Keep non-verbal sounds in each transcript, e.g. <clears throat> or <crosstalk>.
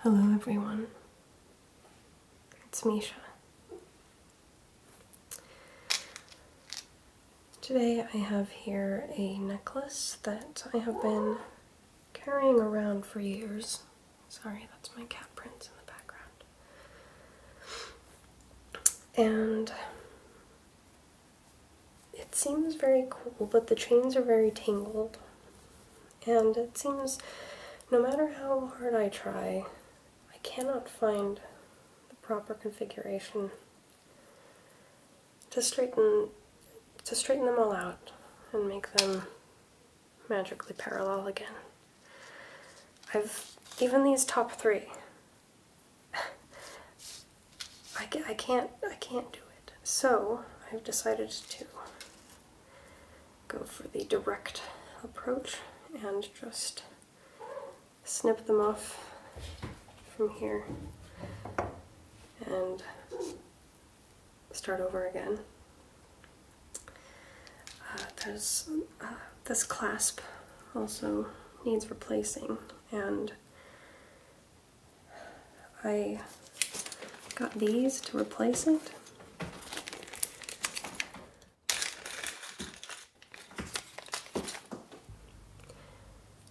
Hello, everyone. It's Misha. Today I have here a necklace that I have been carrying around for years. Sorry, that's my cat prints in the background. And it seems very cool, but the chains are very tangled and it seems no matter how hard I try, I cannot find the proper configuration to straighten to straighten them all out and make them magically parallel again. I've even these top three. <sighs> I, can't I can't do so I've decided to go for the direct approach and just snip them off from here and start over again. Uh, uh this clasp also needs replacing and I got these to replace it.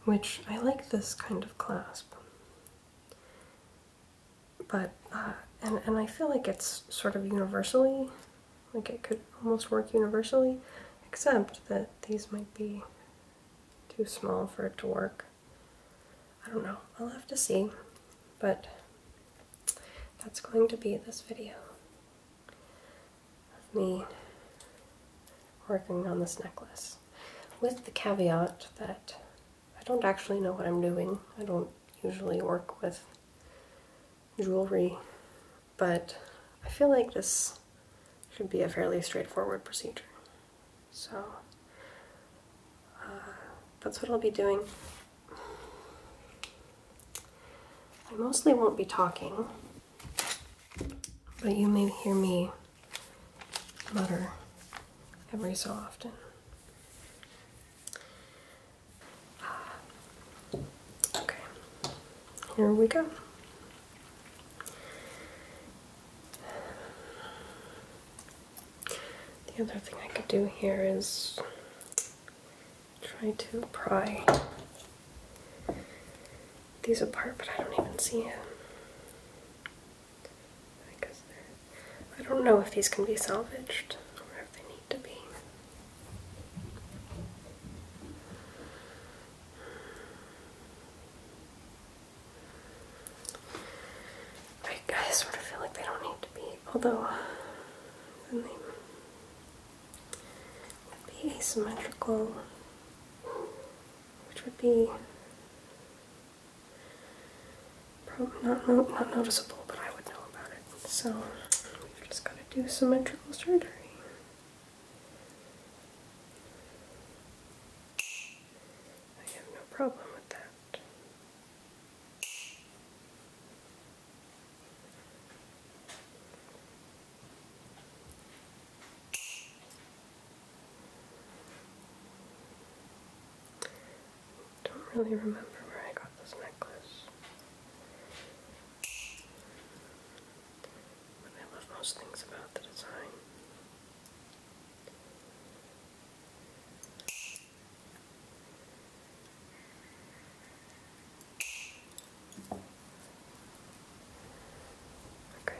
Which I like this kind of clasp, but uh, and and I feel like it's sort of universally, like it could almost work universally, except that these might be too small for it to work. I don't know, I'll have to see. But that's going to be this video of me working on this necklace. With the caveat that I don't actually know what I'm doing. I don't usually work with jewelry, but I feel like this should be a fairly straightforward procedure. So uh, that's what I'll be doing. I mostly won't be talking, but you may hear me mutter every so often. Okay, here we go. The other thing I could do here is try to pry these apart, but I don't even see them. I, guess I don't know if these can be salvaged or if they need to be. I, sort of feel like they don't need to be, although they would be asymmetrical, which would be probably not, not noticeable, but I would know about it. So we've just got to do symmetrical surgery. I have no problem with that that. Don't really remember where I got this necklace. But I love most things about the design. Okay.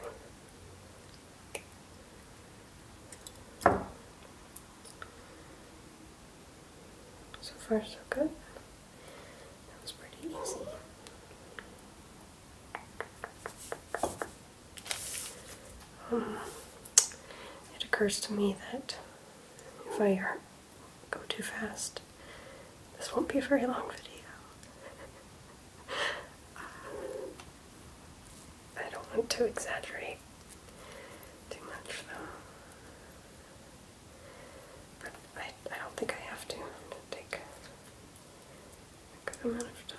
So far, so good. That was pretty easy it occurs to me that if I go too fast, this won't be a very long video. I don't want to exaggerate too much though. But I, I don't think I have to take a good amount of time.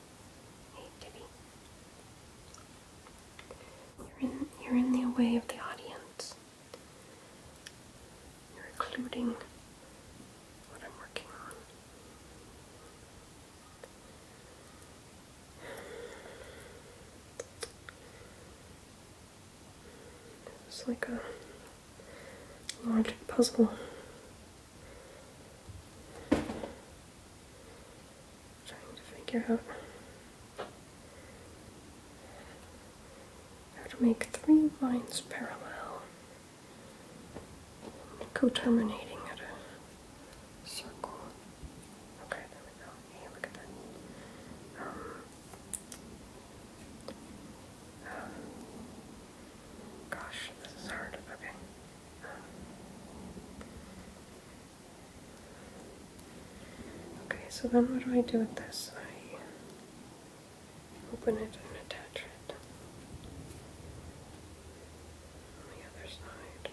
Anthony. You're in, you're in the way of the audience. You're including what I'm working on. It's like a logic puzzle. Trying to figure out how to make three lines parallel, co-terminating at a circle. Okay, there we go. Hey, look at that. Um, uh, gosh, this is hard. Okay. Okay, so then what do I do with this? I open it and attach it on the other side.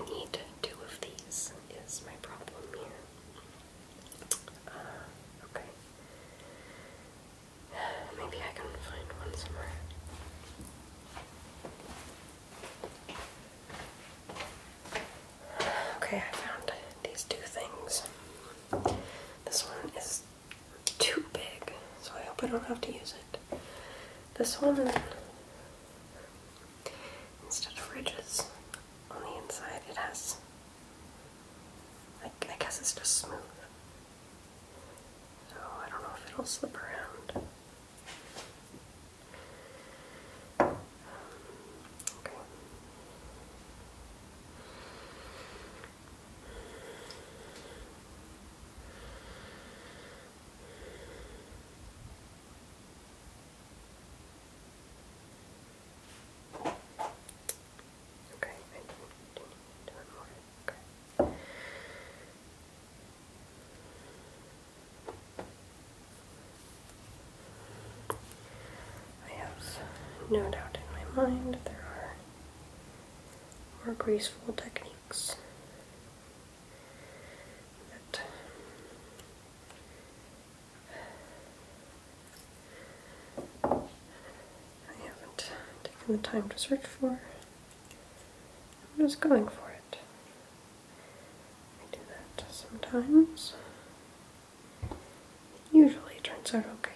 I need two of these, is my problem here. Uh, okay. <sighs> Maybe I can find one somewhere. Okay, I found these two things. This one is too big, so I hope I don't have to use it. This one Instead of ridges on the inside, it has. I, guess it's just smooth. So I don't know if it'll slip around. Um, I have no doubt in my mind there are more graceful techniques I haven't taken the time to search for. I'm just going for it. I do that sometimes. It turns out okay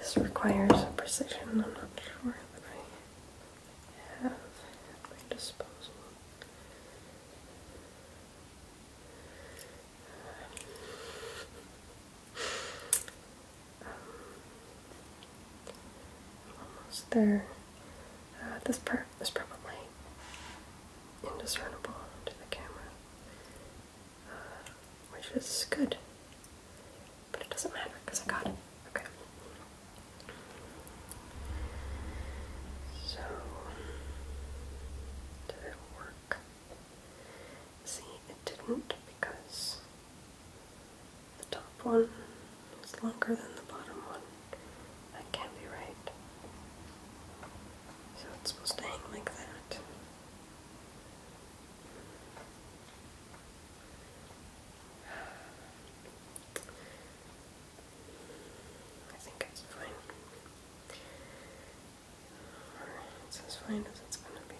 this requires precision I'm not sure that I have at my disposal. Um, almost there. Uh, this part is probably indiscernible to the camera, uh, which is good, but it doesn't matter because I got it. Okay. So, did it work? See, it didn't because the top one is longer than the bottom one. That can't be right. So it's supposed to hang like that. I think it's fine. it's as fine as it's gonna be.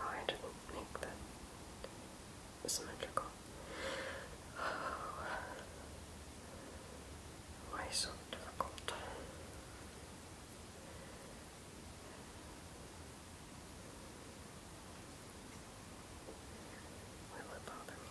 Oh, I didn't make that symmetrical. <sighs> Why so difficult? Will bother me?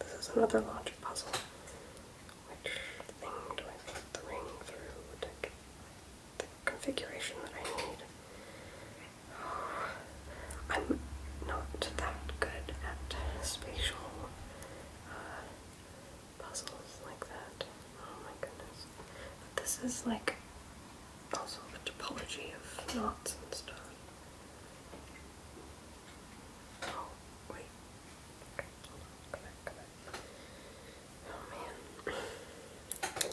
This is another logic puzzle. Which thing do I put the ring through to get the configuration that I need? I'm not that good at spatial puzzles like that. Oh my goodness. But this is like also a topology of knots and stuff. Oh, wait. Okay, Come back, come back. Oh man. <clears throat>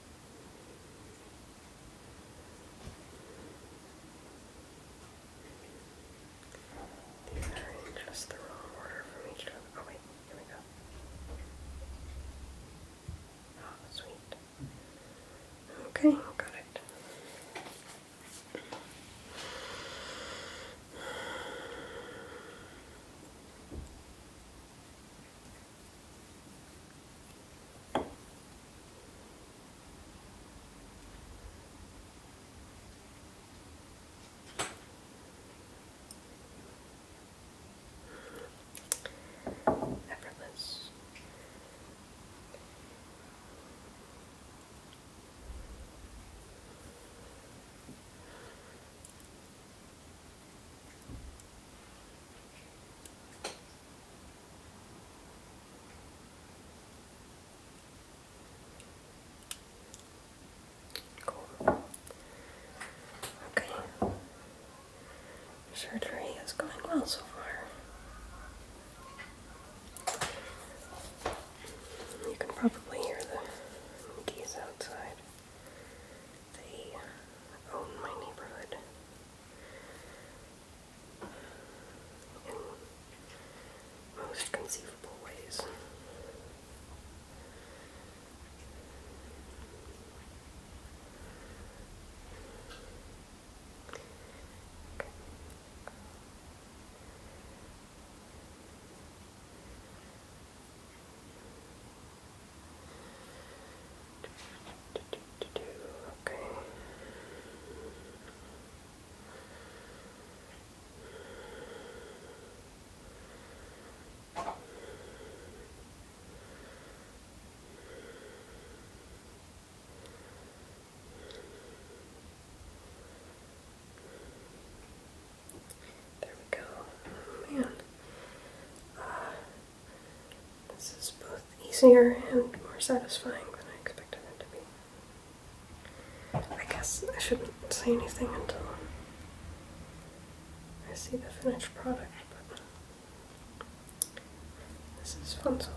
These the wrong order from each other. Oh wait, here we go. Oh, sweet. Okay, got it. Effortless. Okay. Surgery is going well so far. You can probably hear the monkeys outside. They own my neighborhood in most conceivable ways. Okay. There we go. Man. This is both easier and more satisfying than I expected it to be. I guess I shouldn't say anything until I see the finished product, but this is fun so far.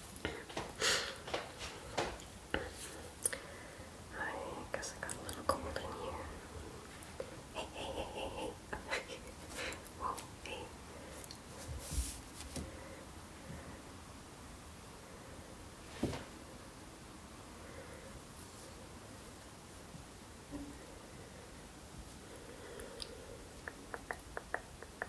I guess I got a little cold in here. Hey, hey, hey, hey, hey. <laughs> Whoa, hey. Okay.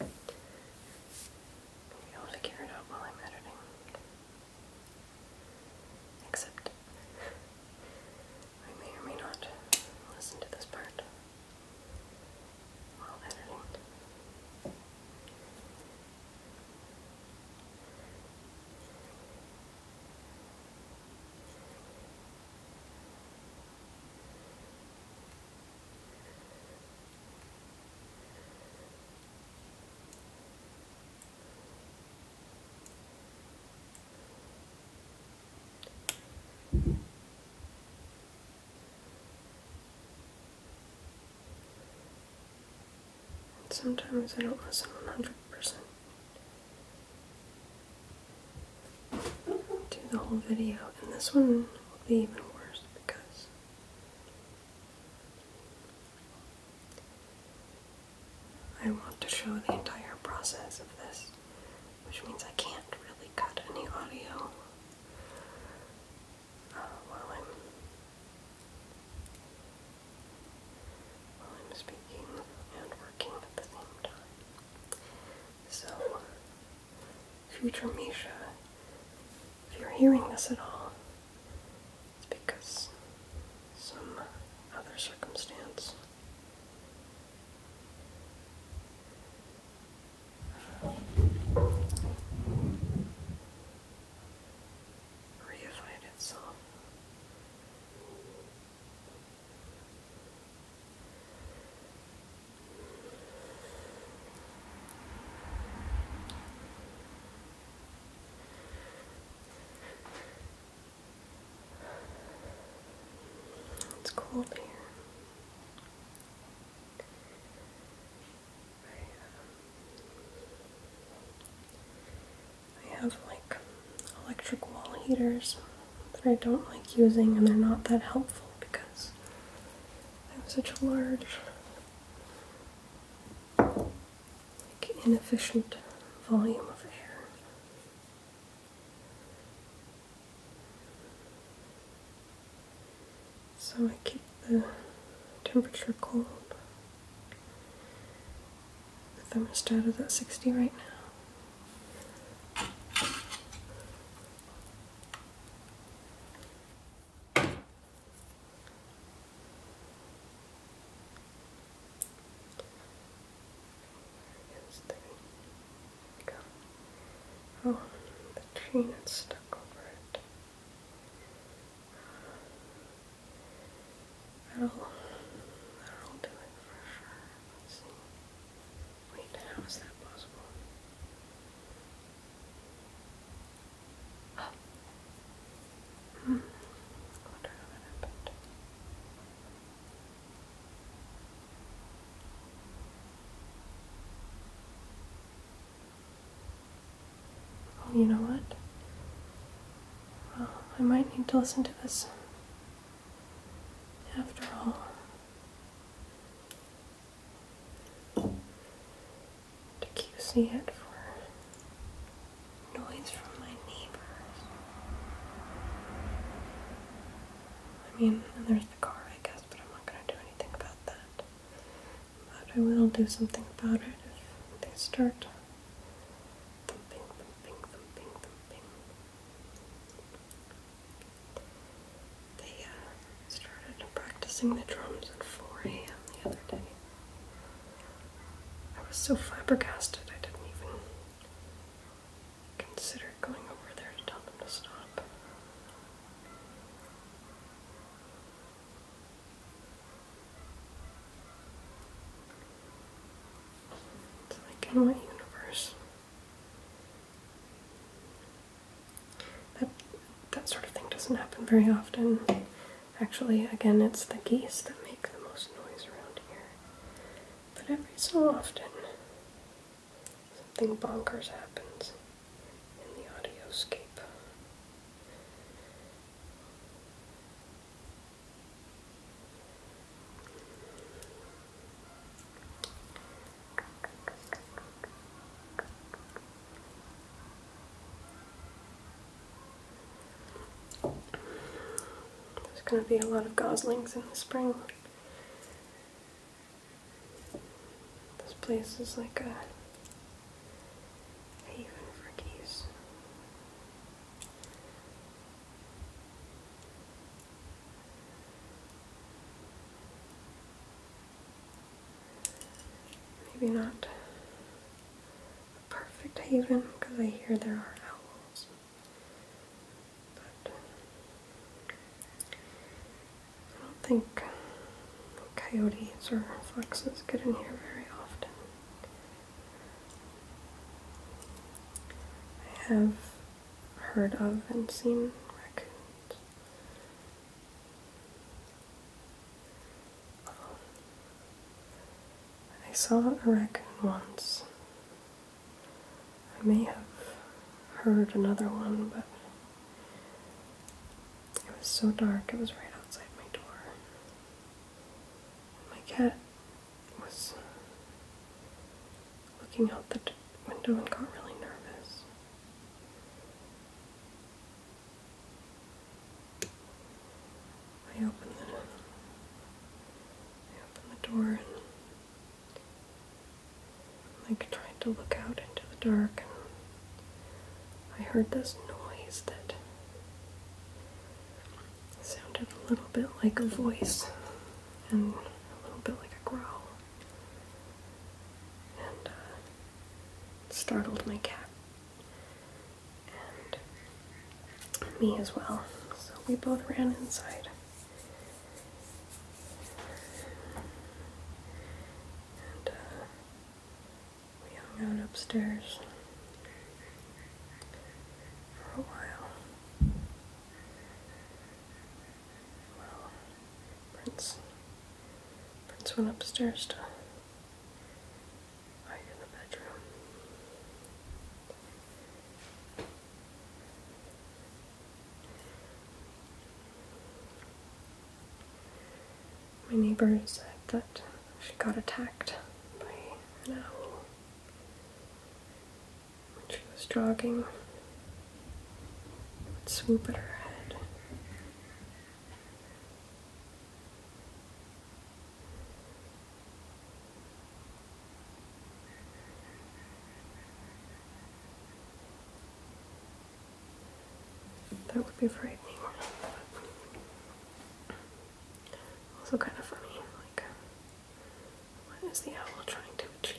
Maybe I'll figure it out while I'm editing. Except, I may or may not listen to this part while editing. Sometimes I don't listen 100% to the whole video, and this one will be even worse because I want to show the entire process of this, which means I can't really cut any audio uh, while I'm while I'm speaking and working at the same time. So future Misha, if you're hearing this at all, it's because some other circumstance. Reified itself. It's cold here. I, have like electric wall heaters that I don't like using, and they're not that helpful because I have such a large like inefficient volume of air. So I keep the temperature cold. The thermostat is at 60 right now. Yes, Oh, the tree that's stuck over it. That'll, that'll do it for sure. Wait, how is that possible? Oh, you know what? Well, I might need to listen to this. After all you see it for noise from my neighbors. I mean, there's the car, I guess, but I'm not going to do anything about that. But I will do something about it if they start uh, They started practicing the drums at 4 a.m. the other day. I was so flabbergasted I didn't even consider going over there to tell them to stop. It's like in my universe that sort of thing doesn't happen very often. Actually, again, it's the geese that make the most noise around here. But every so often, something bonkers happens in the audioscape. There's going to be a lot of goslings in the spring. This place is like a haven for geese. Maybe not a perfect haven because I hear there are owls. But I don't think coyotes or foxes get in here very often. I have heard of and seen raccoons. I saw a raccoon once. I may have heard another one, but it was so dark, it was right outside my door. My cat was looking out the window and got really nervous. I opened the door and like tried to look out into the dark and I heard this noise that sounded a little bit like a voice and a little bit like a growl and uh, startled my cat and me as well. So we both ran inside. And uh, we hung out upstairs for a while. Well, Prince, Prince went upstairs to my neighbor said that she got attacked by an owl when she was jogging. It swoop at her head. That would be frightening. Also kind of funny, like what is the owl trying to achieve?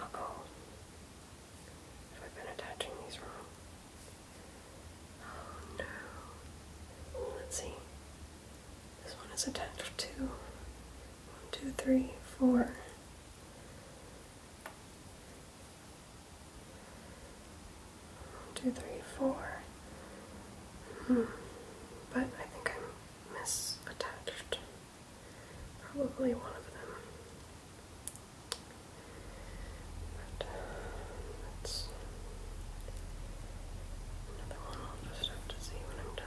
oh. Have I been attaching these wrong? Oh no. Let's see. This one is attached to one, two, three, four. Two, three, four. Hmm. But I think I'm misattached. Probably one of them. But uh, that's another one I'll just have to see when I'm done.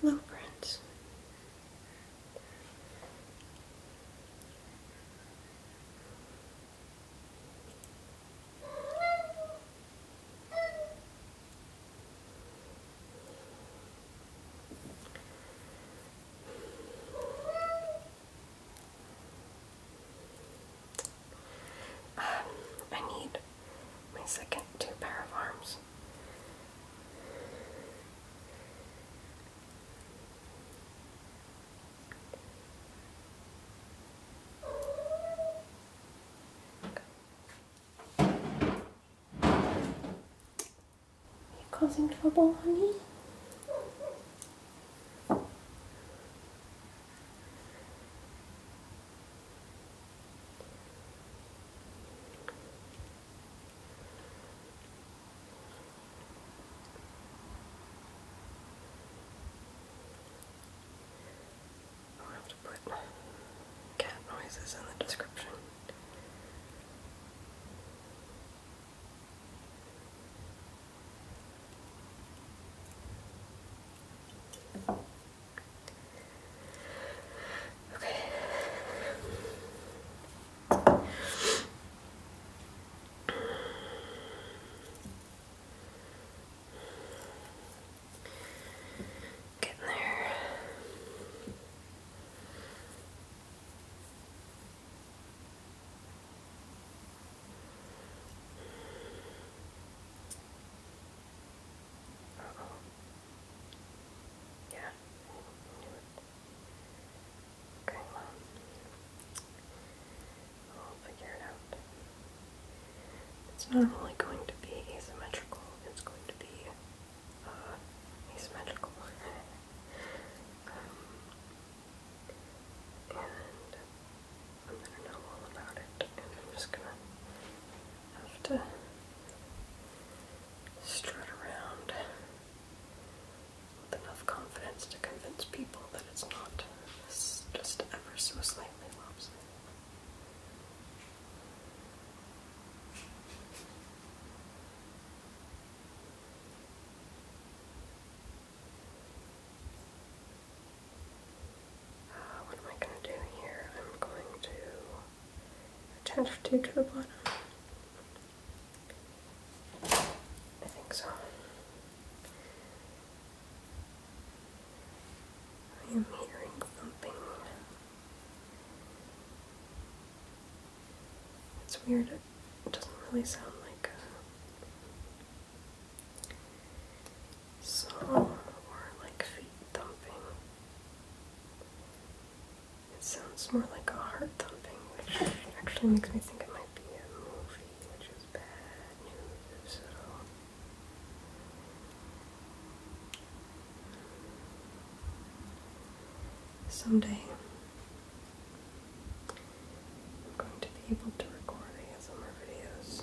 Hello, friends. Um, I need my second two pair of arms. You causing trouble, honey? i have to put cat noises in the description. Okay. Getting there. -oh. Yeah. It's not only going to be asymmetrical, it's going to be uh, asymmetrical. <laughs> Um, and I'm gonna know all about it, and I'm just gonna have to strut around with enough confidence to convince people that it's not just ever so slightly lopsided. Uh, what am I going to do here? I'm going to transfer two to the bottom. I think so. I am hearing thumping. It's weird, it doesn't really sound like a song or like feet it sounds more like a heart thumping, which actually makes me think it might be a movie, which is bad news, so... Someday, I'm going to be able to record ASMR videos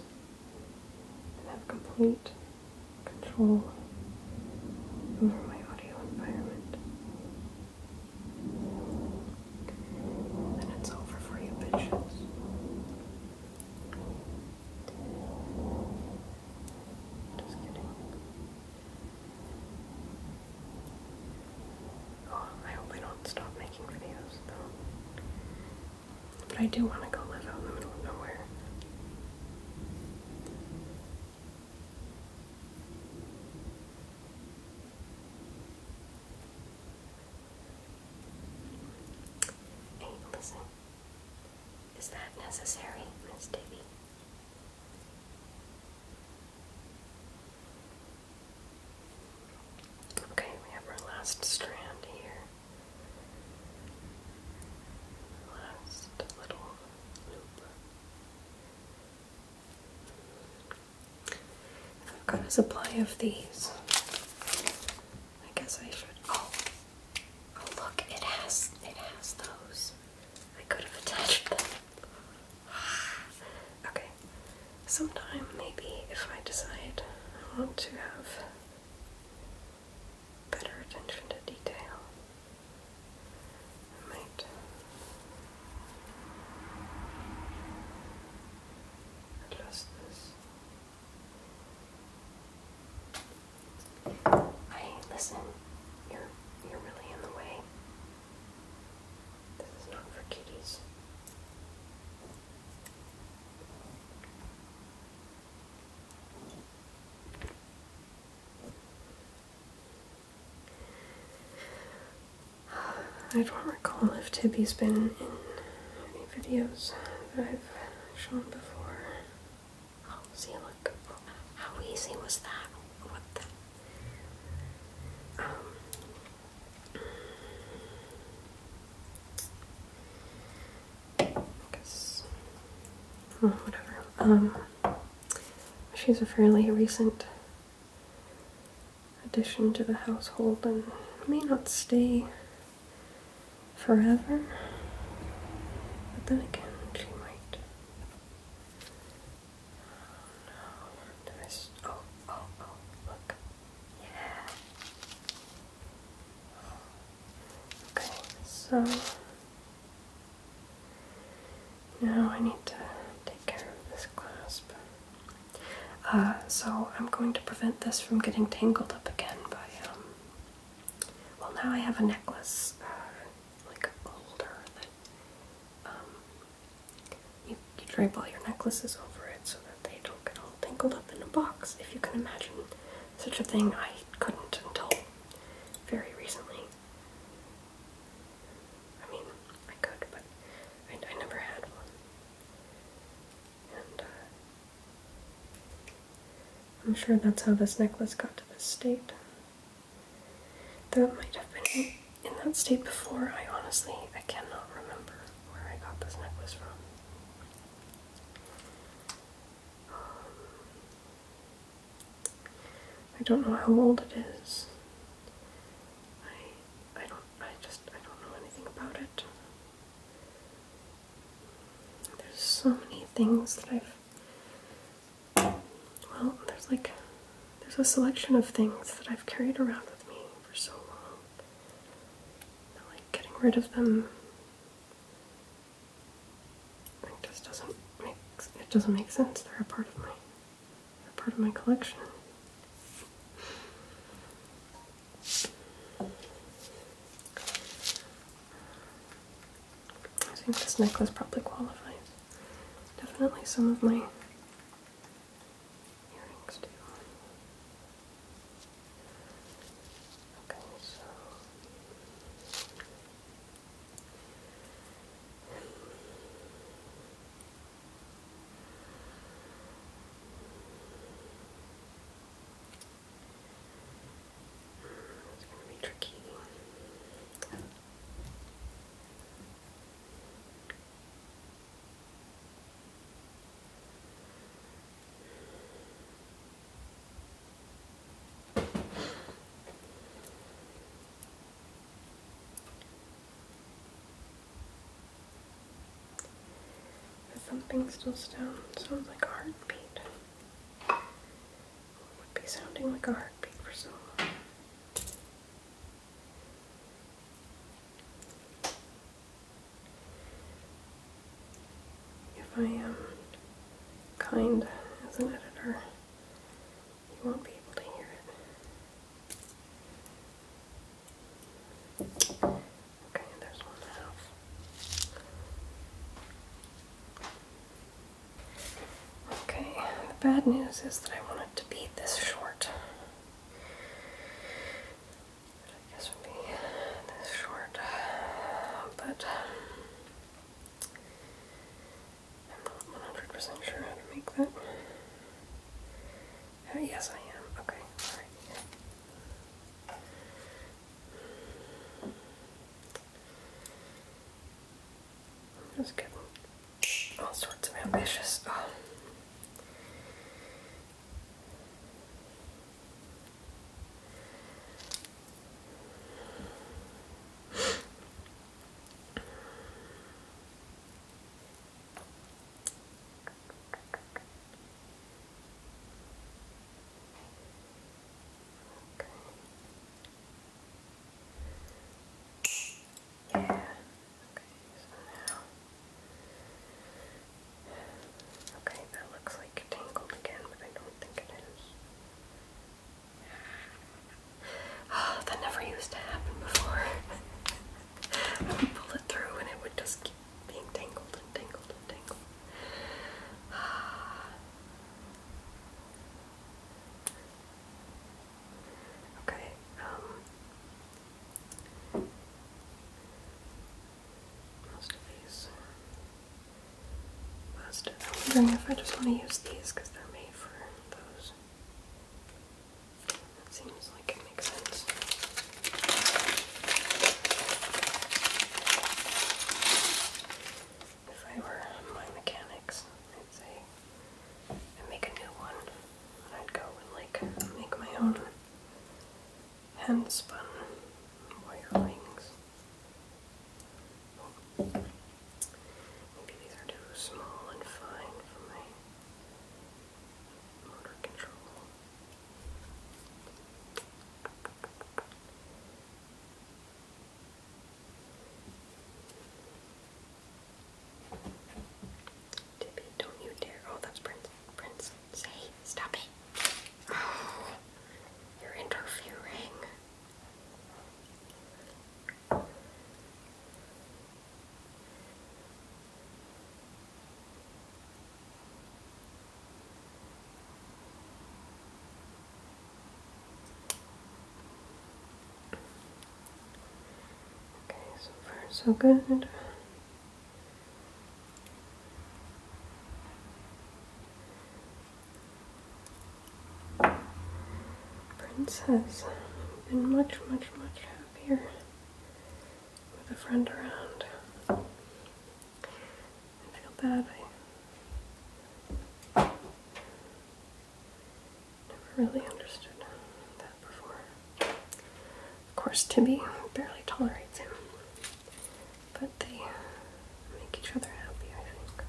and have complete control over my audio environment. Then it's over for you bitches. Just kidding. Oh, I hope I don't stop making videos though. But I do want to go live out in the middle of nowhere. Hey, listen. Is that necessary, Miss Divvy? Okay, we have our last strand here. Last little loop. I've got a supply of these. I guess I should. Oh, oh, look! It has it has those. I could have attached them. <sighs> okay. Sometime maybe if I decide I want to have better attention to detail. I might adjust Hey, listen, you're you're really in the way. This is not for kitties. I don't recall if Tibby's been in any videos that I've shown before. Oh, see, look. How easy was that? What the? Um. whatever. Um. She's a fairly recent addition to the household and may not stay forever, but then again, she might. Oh, no, did I s oh, oh, oh, look. Yeah. Okay, so. Now I need to take care of this clasp. Uh, so I'm going to prevent this from getting tangled up again by, um, well now I have a necklace, uh, like a that, um, you, you drape all your necklaces over it so that they don't get all tangled up in a box, if you can imagine such a thing. I couldn't until very recently. I mean, I could, but I, never had one. Uh, I'm sure that's how this necklace got to this state. That might have been in that state before, I honestly, I cannot remember where I got this necklace from. Um, I don't know how old it is. I I don't I just I don't know anything about it. There's so many things that I've well, there's like there's a selection of things that I've carried around with me for so long. That, like getting rid of them it just doesn't make it doesn't make sense. They're a part of me part of my collection. I think this necklace probably qualifies. Definitely some of my earrings too. Okay, it's going to be tricky. The thumping still sounds like a heartbeat. would be sounding like a heartbeat for so long? If I am kind as an editor, you won't be able to hear it. Okay, there's one half. Okay, the bad news is that I wanted to beat this short. I guess would be this short, but. Um, I'm not 100% sure how to make that. Uh, yes, I am. Okay, alright. just getting all sorts of ambitious. Yeah. Okay, so now. Okay, that looks like tangled again, but I don't think it is. <sighs> that never used to happen before. <laughs> I would pull it through and it would just keep being tangled and tangled and tangled. <sighs> okay, um. most of these plastic. I'm wondering if I just want to use these because they're made for those. That seems like it makes sense. If I were my mechanics, I'd say I'd make a new one. I'd go and like make my own hand spun wire rings. Tippy, don't you dare. Oh, that's Prince. Prince, say, stop it. <sighs> you're interfering. Okay, so far so good. Prince has been much, much, much happier with a friend around. I feel bad. I never really understood that before. Of course, Tibby barely tolerates him, but they make each other happy, I think.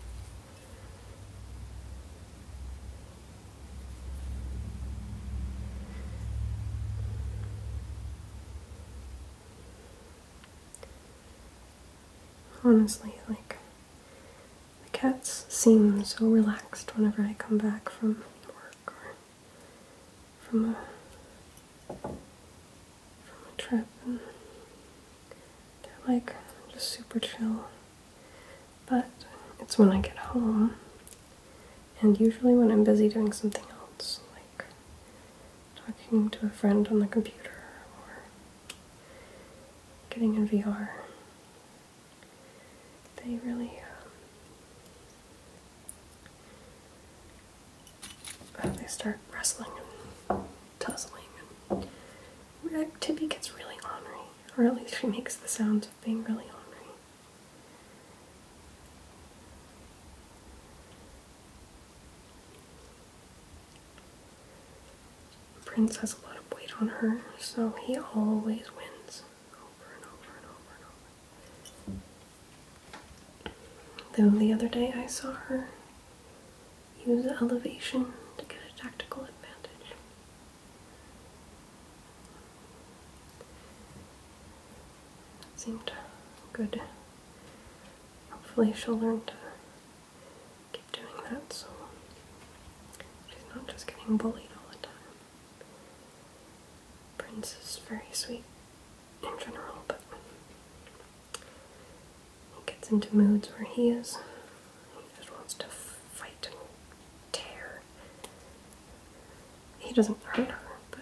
Honestly, like the cats seem so relaxed whenever I come back from work or from a trip they're like just super chill. But it's when I get home, and usually when I'm busy doing something else, like talking to a friend on the computer or getting in VR. They really um, they start wrestling and tussling, and my tippy gets really ornery or at least <laughs> she makes the sounds of being really hungry. Prince has a lot of weight on her, so he always wins over and over and over and over. Though the other day I saw her use elevation to get a tactical advantage. That seemed good. Hopefully she'll learn to keep doing that so she's not just getting bullied all the time. Prince is very sweet in general, but he gets into moods where he is. He just wants to fight and tear he doesn't hurt her, but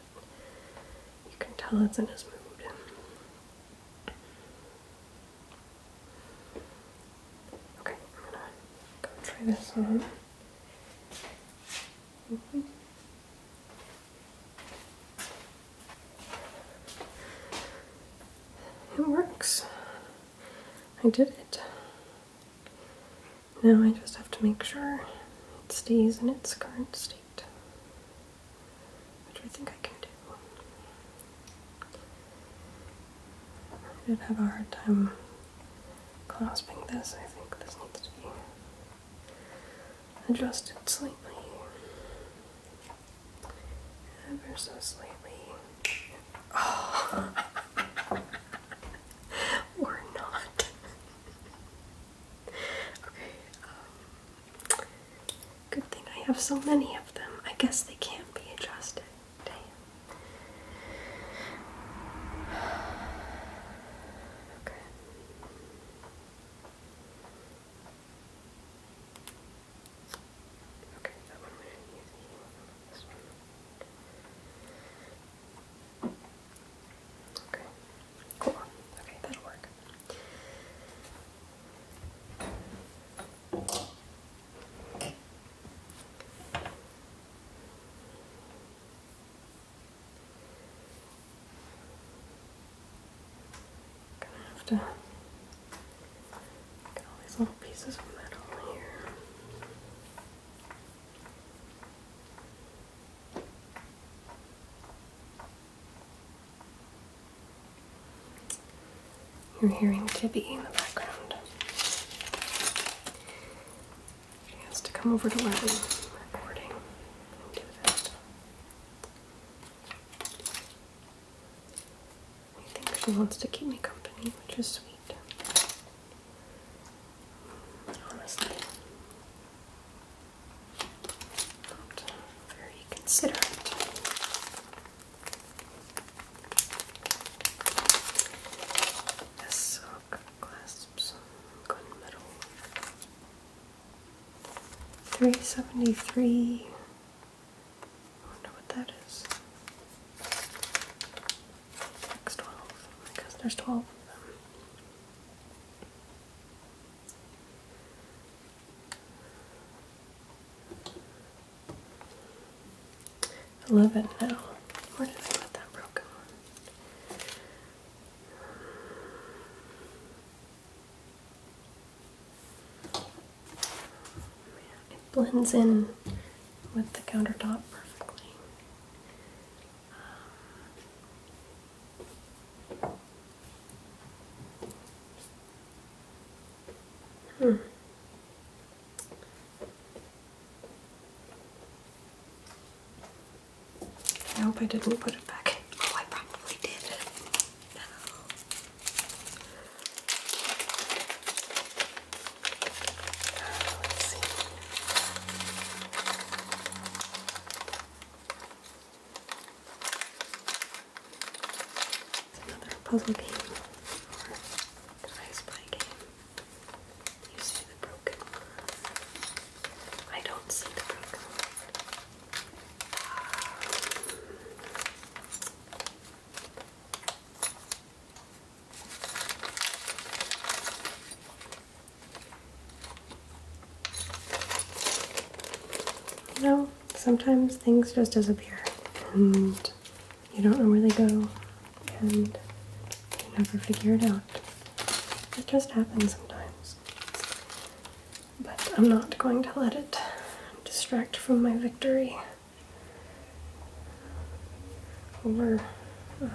you can tell it's in his mood. Okay, I'm go try this on. It works. I did it. Now I just have to make sure it stays in its current state, which I think I can do. I did have a hard time clasping this. I think this needs to be adjusted slightly, ever so slightly. <laughs> <laughs> or <laughs> not. okay, um, good thing I have so many of them. I guess they can't be adjusted. Damn. Okay. Okay, that one. Okay, cool. Okay, that'll work. Gonna have to get all these little pieces of metal here. You're hearing Tibby in the background. She has to come over to where I'm recording I think she wants to keep me company, which is sweet. Honestly, not very considerate. This sock clasps gunmetal. Three seventy three. I wonder what that is. X twelve because there's twelve of them. Eleven now. Where did I put that broken one? It blends in with the countertop perfectly hmm. I hope I didn't put it back in. Oh, I probably did. No. Let's see. It's another puzzle game or device play game. You see the broken one. I don't see the broken one. Um, you sometimes things just disappear and you don't know where they go and you never figure it out. It just happens sometimes. But I'm not going to let it distract from my victory. Over uh,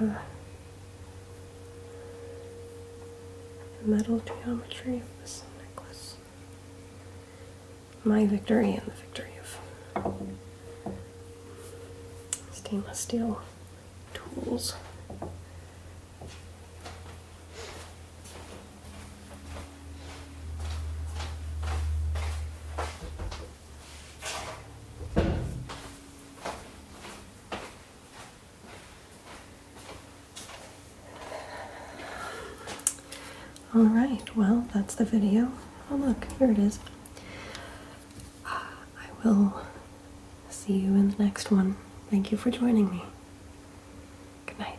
the metal geometry of this necklace. My victory and the victory of stainless steel tools. All right, well, that's the video. Oh, look, here it is. I will see you in the next one. Thank you for joining me. Good night.